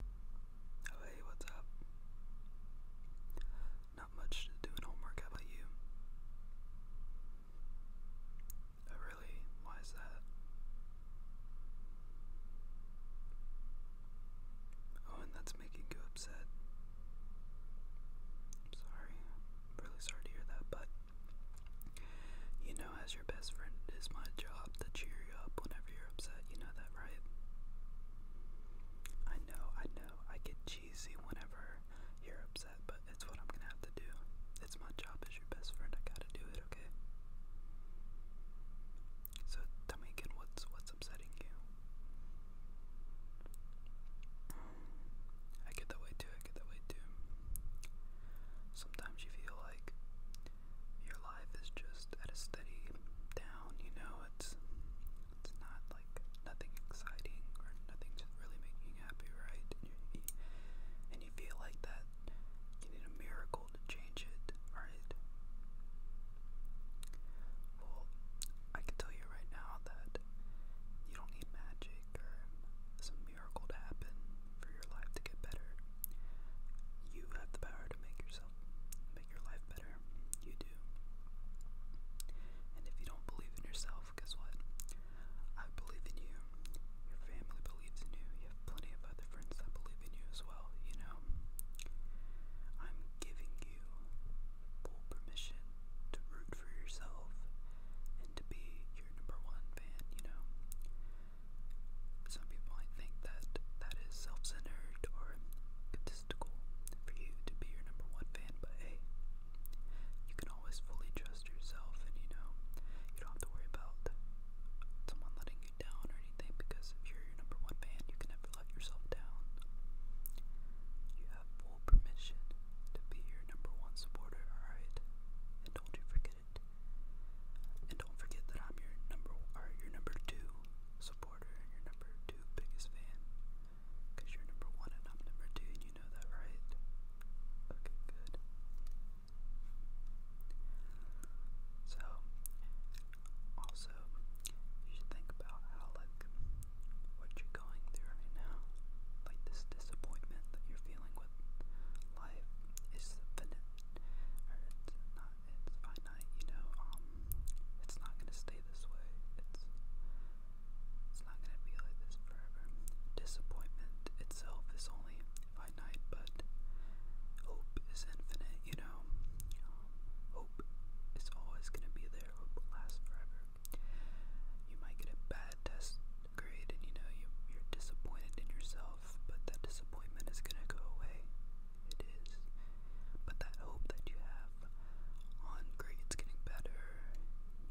Hey, what's up? Not much to homework, how about you? Oh, really? Why is that? Oh, and that's making you upset. sorry. really sorry to hear that, but you know, as your best friend, it is my job to cheer you up whenever you're upset. You know that, right? I know, I know. I get cheesy whenever you're upset, but that's what I'm gonna have to do. It's my job as your best friend. I gotta do it, okay? So tell me again, what's what's upsetting you? I get that way too. I get that way too. Sometimes you feel like your life is just at a steady down, you know, it's it's not like nothing exciting or nothing just really making you happy, right? And you, feel like that you need a miracle to change it, right? Well, I can tell you right now that you don't need magic or some miracle to happen for your life to get better. You have the power to make yourself make your life better. You do. And if you don't believe in yourself, guess what? I believe in you. Your family believes in you. You have plenty of other friends that believe in you as well, you know? I'm giving you full permission to root for yourself and to be your number one fan, you know? Some people might think that that is self-centered or egotistical for you to be your number one fan, but hey, you can always fully trust yourself, and you know you don't have to worry about someone letting you down or anything because if you're your number one fan, you can never let yourself down. You have full permission to be your number one supporter, alright? And don't you forget it. And don't forget that I'm your number or your number two supporter and your number two biggest fan. you're number one and I'm number two, and you know that, right? Okay, good. So, also, you should think about how, like, what you're going through right now, like this disappointment that you're feeling with life is finite, or it's not it's finite, you know, um, it's not gonna stay this way. It's it's not gonna be like this forever. Disappointment itself is only finite, but hope is infinite, you know. Um, hope is always gonna be there. Hope will last forever. You might get a bad test grade, and you know you you're disappointed in yourself, but that disappointment is gonna go away it is. But that hope that you have on grades getting better,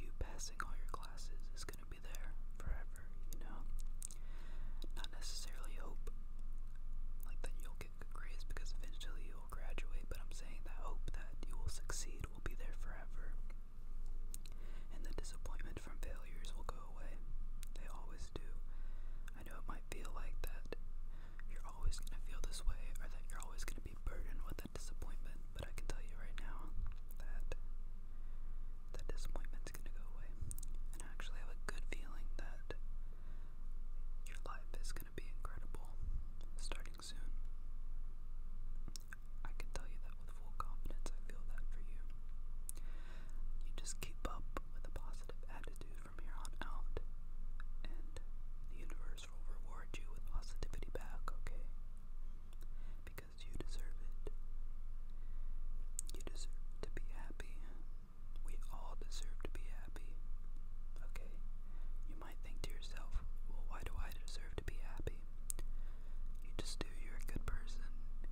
you passing all your classes is going to be there forever, you know? Not necessarily hope like that you'll get good grades because eventually you'll graduate, but I'm saying that hope that you will succeed will be there forever. And the disappointment from failures will go away. They always do. I know it might feel like that you're always going to feel this way or that you're always going to be burdened with that disappointment, but I can tell you right now that that disappointment's going to go away. And I actually have a good feeling that your life is going to be incredible starting soon. I can tell you that with full confidence. I feel that for you. You just keep up with a positive attitude from here on out, and the universe will reward you with positivity back, okay? Because you deserve it. You deserve to be happy. We all deserve to be happy, okay? You might think to yourself, well, why do I deserve to be happy? You just do. You're a good person.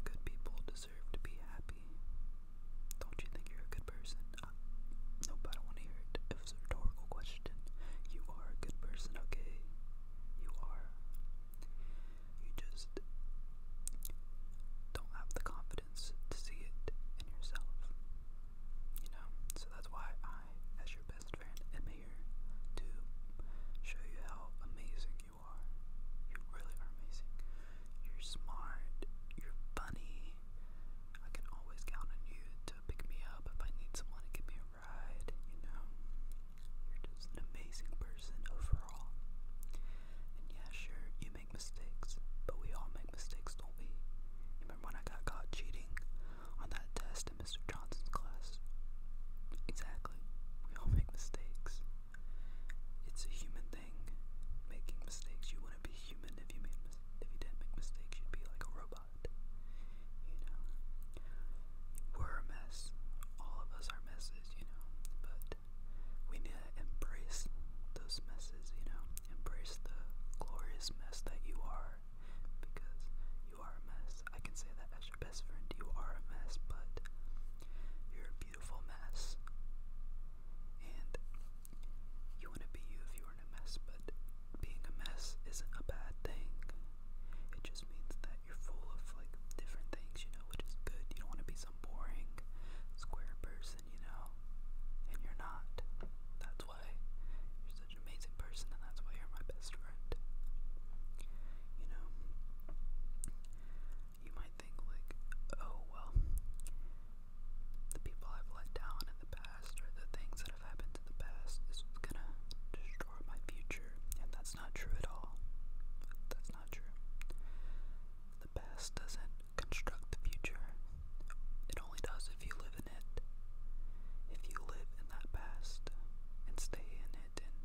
Good people deserve to be happy. Don't you think you're a good person? Uh, nope, I don't want to hear it. It a rhetorical question. You are a good person, okay? You are. You just don't have the confidence to see it in yourself. You know? So that's why I, as your best friend, am here show you how amazing you are. You really are amazing. You're smart. You're funny. I can always count on you to pick me up if I need someone to give me a ride, you know? You're just an amazing person overall. And yeah, sure, you make mistakes, but we all make mistakes, don't we? remember when I got caught cheating on that test in Mr. Johnson's class? Exactly. We all make mistakes. It's a human thing making mistakes. You want to be human if you made mis if you didn't make mistakes. You'd be like a robot. You know, we're a mess. All of us are messes. You know, but we need to embrace those messes. You know, embrace the glorious mess that you are, because you are a mess. I can say that as your best friend. You are a mess, but you're beautiful mess. And you want to be you if you are in a mess, but being a mess isn't a bad thing. It just means that you're full of like different things, you know, which is good. You don't want to be some boring square person, you know, and you're not. That's why you're such an amazing person, and that's why you're my best friend. You know, you might think, like, oh, well, the people I've let down in the past or the things that have happened in the past is gonna destroy my future, and that's not true at all. That's not true. The past doesn't construct the future, it only does if you live in it. If you live in that past and stay in it and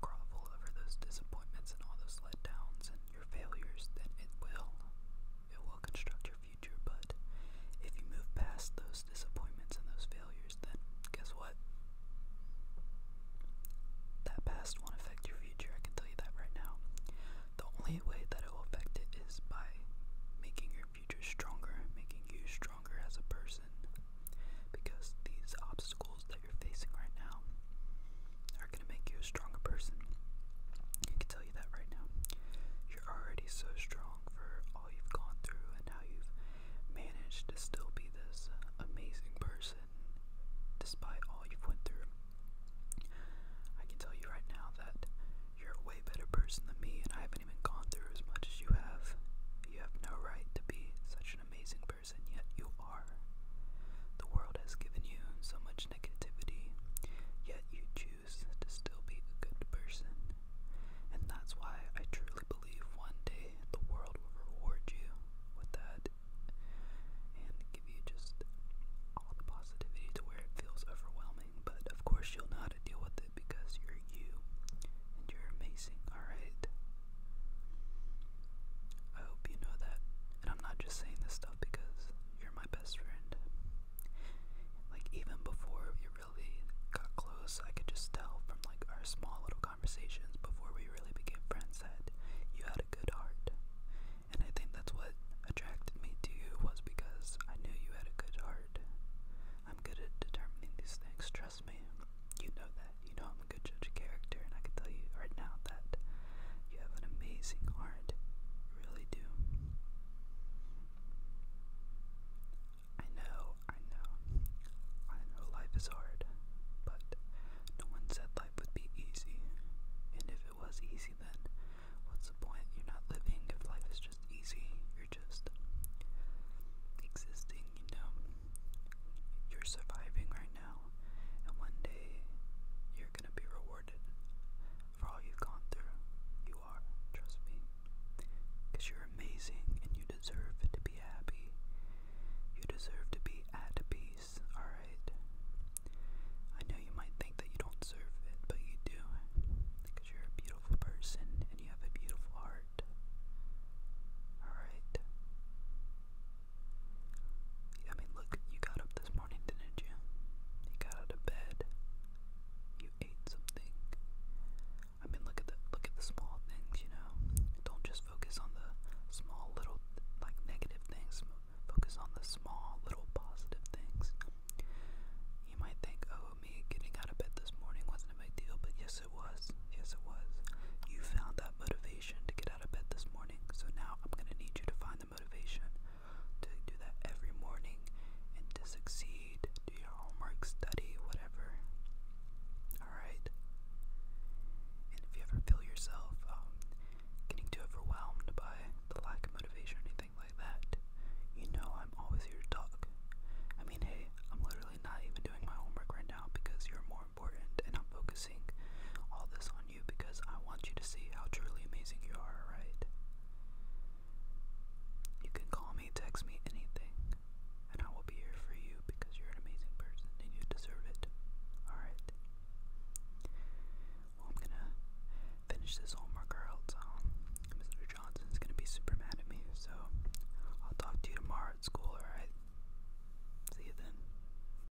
grovel over those disappointments and all those letdowns and your failures, then it will it will construct your future, but if you move past those disappointments and those failures, then guess what? That past won't affect your future, I can tell you that right now. The only way that it will affect it is by making your future stronger, making you stronger as a person. Because these obstacles you're facing right now are going to make you a stronger person. I can tell you that right now. You're already so strong for all you've gone through and how you've managed to still be this amazing person despite all you've went through. I can tell you right now that you're a way better person than me and I haven't even gone through as much as you have. You have no right to be such an amazing person, yet you are. The world has given you so much negativity, yet you choose to still be a good person. And that's why I truly believe one day the world will reward you with that and give you just all the positivity to where it feels overwhelming. But of course, you'll know how to deal with it because you're you and you're amazing, alright? I hope you know that. And I'm not just saying this because you're my best friend. Like, even before we really got close, I could just tell from like our small little conversations before we really became friends that you had a good heart. And I think that's what attracted me to you was because I knew you had a good heart. I'm good at determining these things, trust me. You know that. You know I'm a good judge of character, and I can tell you right now that you have an amazing heart. really do. I know, I know. I know life is hard, but no one said life would be easy. And if it was easy, then what's the point? You're not living if life is just easy. You're just existing, you know. You're surviving right now, and one day you're you gonna be rewarded for all you've gone through. You are, trust me. you're amazing and you deserve to be happy. You deserve to be at peace, alright? I know you might think that you don't deserve it, but you do. you're a beautiful person and you have a beautiful heart. Alright? I mean, look, you got up this morning, didn't you? You got out of bed. You ate something. I mean, look at the look at the small things, you know. Don't just focus on the small little like negative things. Focus on the small little positive things. You might think, "Oh, me getting out of bed this morning wasn't a big deal," but yes, it was. Yes, it was. You found that motivation to get out of bed this morning, so now I'm gonna need you to find the motivation to do that every morning and to succeed, do your homework, study, whatever. Alright? And if you ever feel yourself um, getting too overwhelmed by the lack of motivation or anything like that, you know I'm always here to talk. I mean, hey, I'm literally not even doing my homework right now because you're more important, and I'm focusing all this on you because I want you to see how truly amazing you are, right? You can call me, text me, anything, and I will be here for you because you're an amazing person and you deserve it. Alright? Well, I'm gonna finish this homework or um, Mr. Johnson's gonna be super mad at me, so I'll talk to you tomorrow at school, alright? See you then.